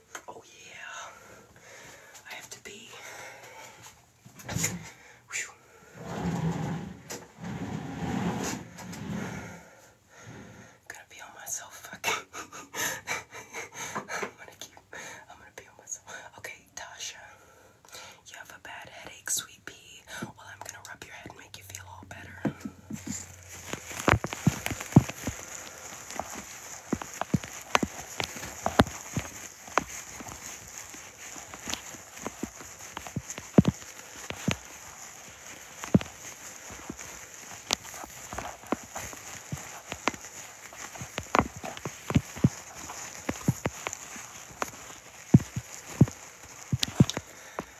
Oh yeah, I have to pee. Whew. to pee on myself. Okay. I'm gonna keep. I'm gonna pee on myself. Okay, Tasha, you have a bad headache, sweet pea. Well, I'm gonna rub your head and make you feel all better.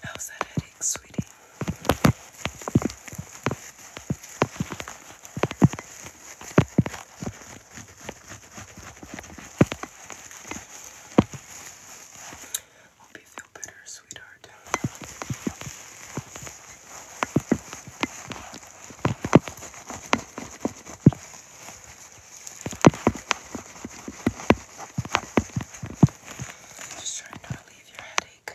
How's that headache, sweetie? Hope you feel better, sweetheart. Just trying to relieve your headache.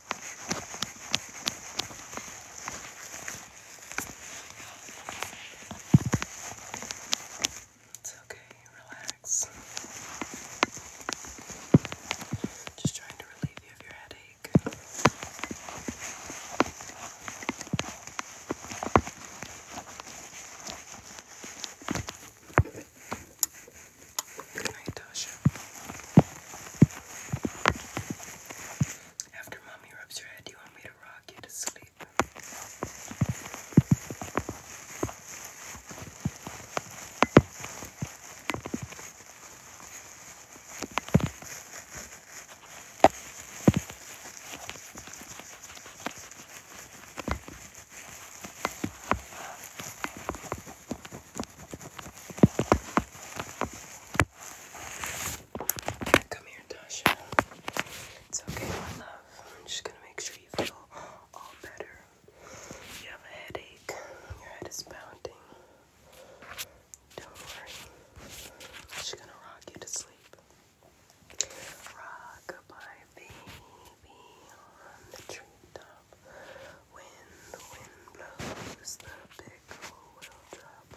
It's okay, relax. Just trying to relieve you of your headache. Tasha. After mommy rubs your head, do you want me to rock you to sleep? Come here, Tasha. It's okay, my love. I'm just gonna make sure you feel all better. You have a headache. Your head is pounding. Don't worry. I'm just gonna rock you to sleep. Rock baby on the treetop. When the wind blows, the pickle will drop.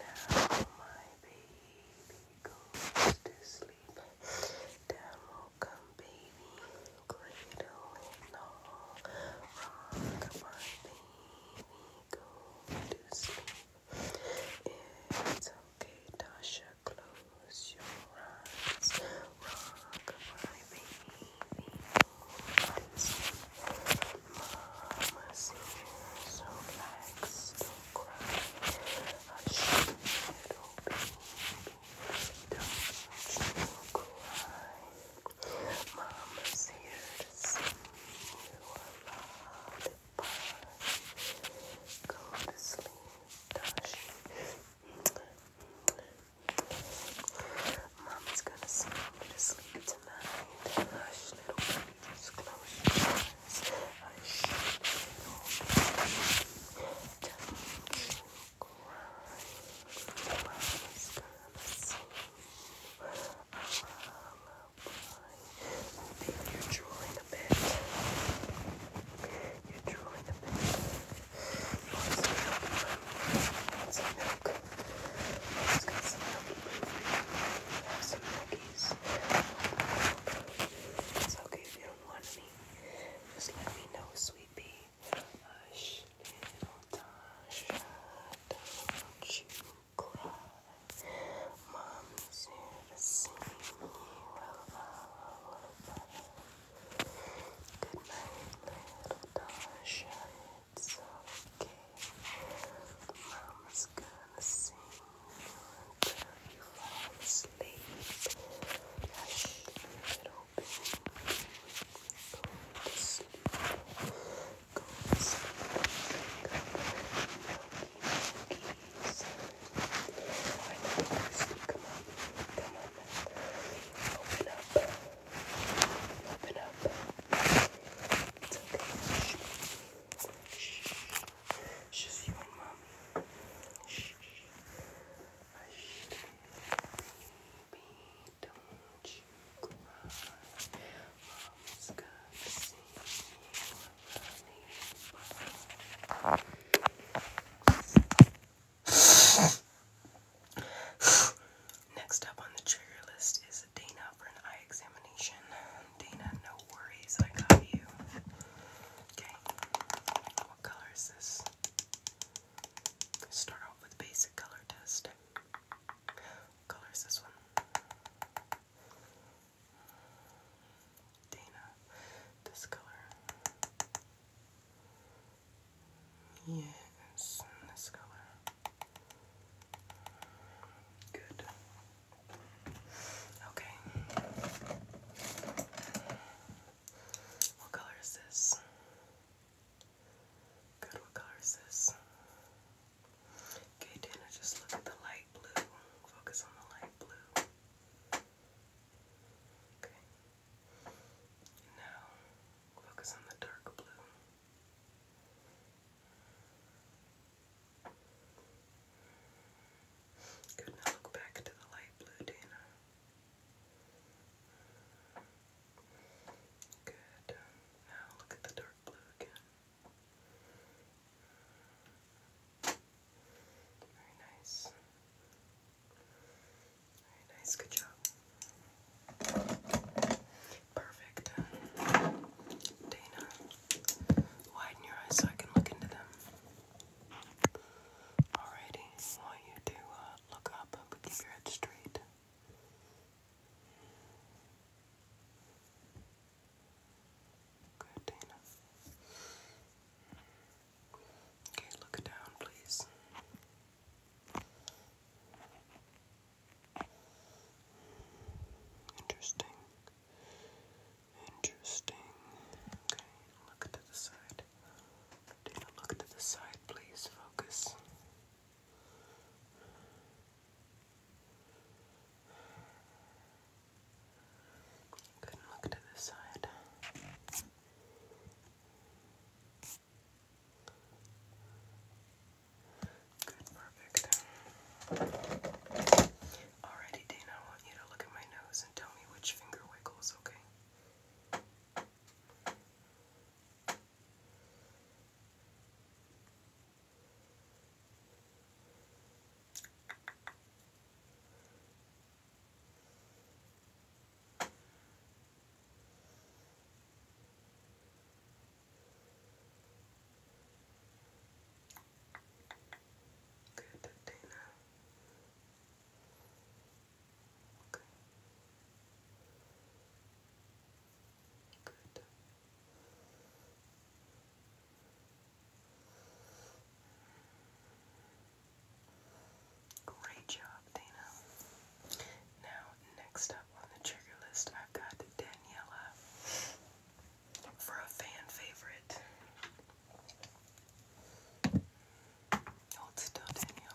Now my baby goes to sleep. Down will come baby, cradle and all. Rock my baby, go to sleep. It's okay, Tasha, close your eyes. Rock my baby, Mama's here, so relax, don't cry. Hush, little baby, don't cry. Mama's here to sing you a lullaby. Go to sleep, Dashi. Mommy's gonna sing you to sleep tonight. Hush, little baby, just close your eyes. Hush, little baby, don't you cry. Mommy's gonna sing you a lullaby. Baby, you're drooling a bit. You're drooling a bit. You want some milk? You want Let's get some milky We have some milkies. It's okay if you don't want any. Just let me know, sweet Hush, little Tasha, don't you cry. Mom's here to sing you a lullaby. Good night, little Tasha. It's okay. Mama's gonna sing until you fall asleep. Hush, little baby. Go to sleep. Go to sleep. Milky, milky, sorry. Come on, come on. Open up. Open up. It's okay. Shh. Just you and mommy. Baby, don't you cry. Mom's gonna see Next up on the trigger list is Dana for an eye examination. Dana, no worries, I got you. Okay, what color is this? Start off with basic color test. What color is this one? Dana, this color. Yes, this color. Good. Okay. What color is this? Good, what color is this? Okay, Dana, just look at the light blue. Focus on the light blue. Okay. Now, focus on the dark blue. Good, now look back to the light blue, Dana. Good. Now look at the dark blue again. Very nice. Very nice. Good job. Perfect. Dana, widen your eyes so I can look into them. Alrighty, I want you to uh, look up, but keep your head Good, Dana. Okay, look down, please. Interesting. Interesting. Okay, look to the side. Dana, look to the side, please. Focus. could look to this side. Good, perfect. Alrighty, Dana, I want you to look at my nose and tell me which finger wiggles, okay? Good, Dana. Okay. Good. Great job, Dana. Now, next on the trigger list, I've got Daniela for a fan favorite. Hold still, Daniela.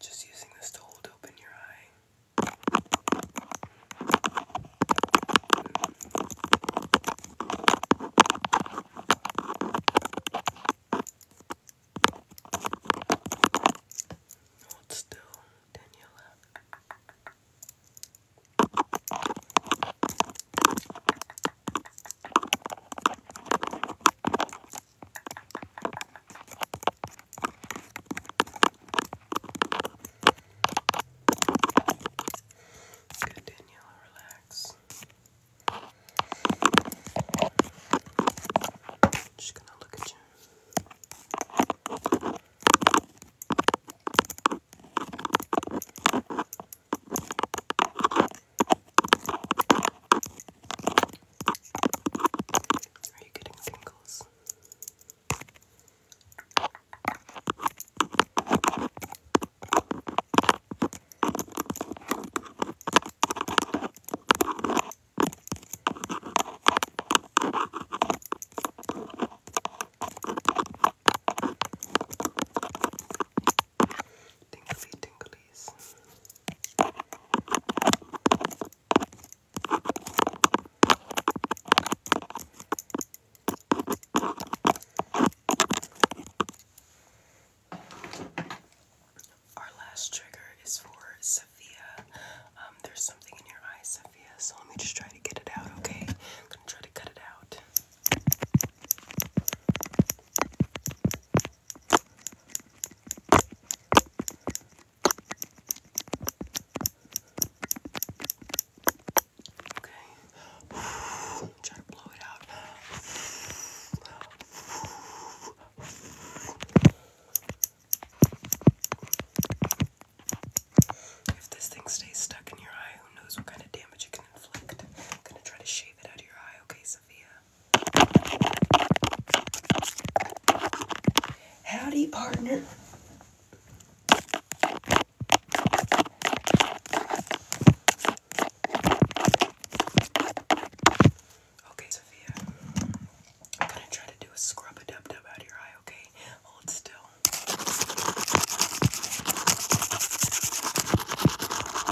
Just using this to hold open your eye. Hold still, Daniela. Good, Daniela, relax. She's gonna look at you. Are you getting tingles? tingly tinglies. Our last trigger is for Sophia. Um, there's something in your eye, Sophia, so let me just try to get it out, okay? I'm gonna try to cut it out. Okay. Try to blow it out. If this thing stays stuck in your eye, who knows what kind of damage it can inflict? I'm gonna try to shave it out of your eye, okay? Sophia. Howdy, partner. Okay, Sophia. I'm gonna try to do a scrub a dub dub out of your eye, okay? Hold still.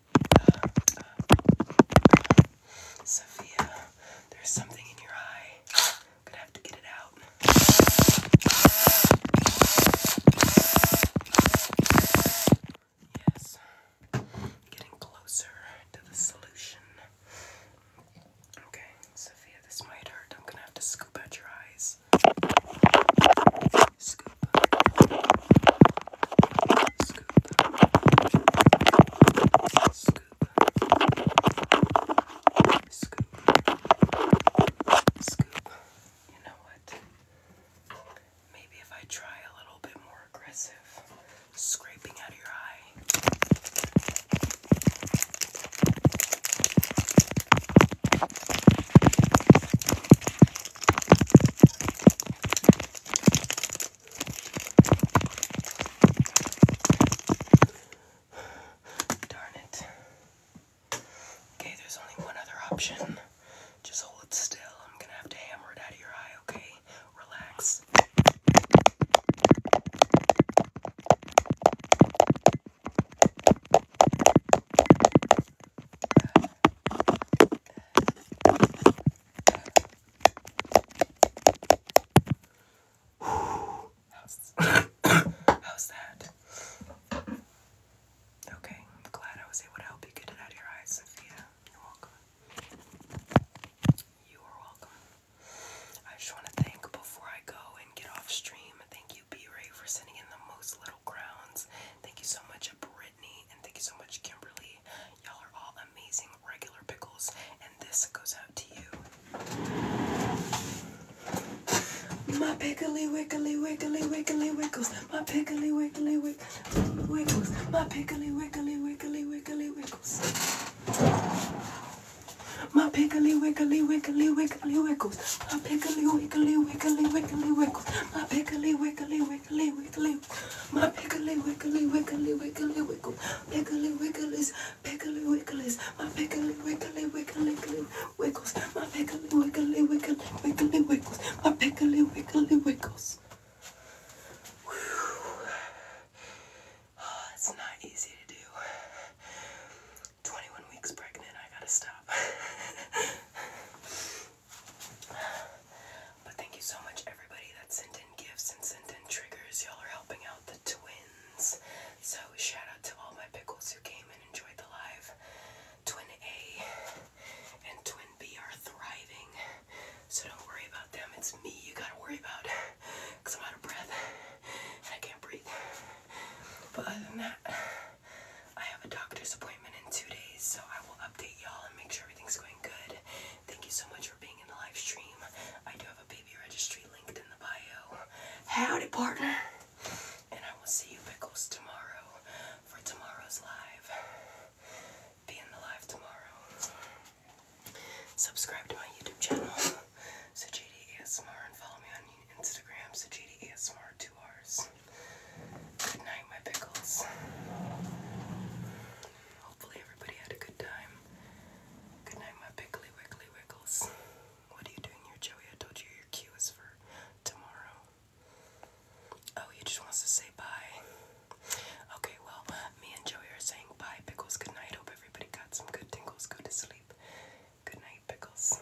Uh, Sophia, there's something in your eye. gonna have to get it out. Yes, getting closer to the solution. Okay, Sophia, this might hurt. I'm gonna have to scoop out your eyes. Scoop. Scoop. Scoop. Scoop. Scoop. You know what? Maybe if I try a little bit more aggressive scraping out of your eye. Darn it. Okay, there's only one other option. Just hold it still. I'm gonna have to hammer it out of your eye, okay? Relax. Good. How's, that? Okay, I'm glad I was able to help you get it out of your eyes, Sophia. You're welcome. You are welcome. I just want to thank before I go and get off stream. Thank you, B for sending in the most Little Thank you so much, Brittany, and thank you so much, Kimberly. Y'all are all amazing regular pickles, and this goes out to you. My pickly wiggly wiggly wiggly wiggles. My pickly wiggly wiggly wiggles. My pickly wiggly wiggly wiggly wiggles. My pickly wiggly wiggly wiggly wiggles. My pickly wiggly wiggly wiggly wiggles. My pickly wiggly wiggly, wiggly. My piggly, wiggly, wiggly, wiggly, wiggle. Piggly, wigglies, piggly, wigglies. My piggly, wiggly, wiggly, wiggly, wiggles. My piggly, wiggly, wiggly, wiggly, wiggles. My piggly, wiggly, wiggles. Oh, it's not easy to do. 21 weeks pregnant, I gotta stop. But thank you so much, everybody that sent in gifts and sent in triggers. Y'all are helping out the twins. So, shout out to all my pickles who came and enjoyed the live. Twin A and Twin B are thriving. So, don't worry about them. It's me you gotta worry about because I'm out of breath and I can't breathe. But other than that, I have a doctor's appointment in two days, so I will update y'all and make sure everything's going good. Thank you so much for being in the live stream. I do have a baby registry linked in the bio. Howdy, partner! And I will see you, Pickles, tomorrow for tomorrow's live. Be in the live tomorrow. Subscribe to my YouTube channel, so JD and follow me on Instagram, so JD two R's. Good night, my pickles. Hopefully, everybody had a good time. Good night, my pickly wiggly wiggles. What are you doing here, Joey? I told you your cue is for tomorrow. Oh, he just wants to say bye. Okay, well, me and Joey are saying bye, pickles. Good night. Hope everybody got some good tingles. Go to sleep. Good night, pickles.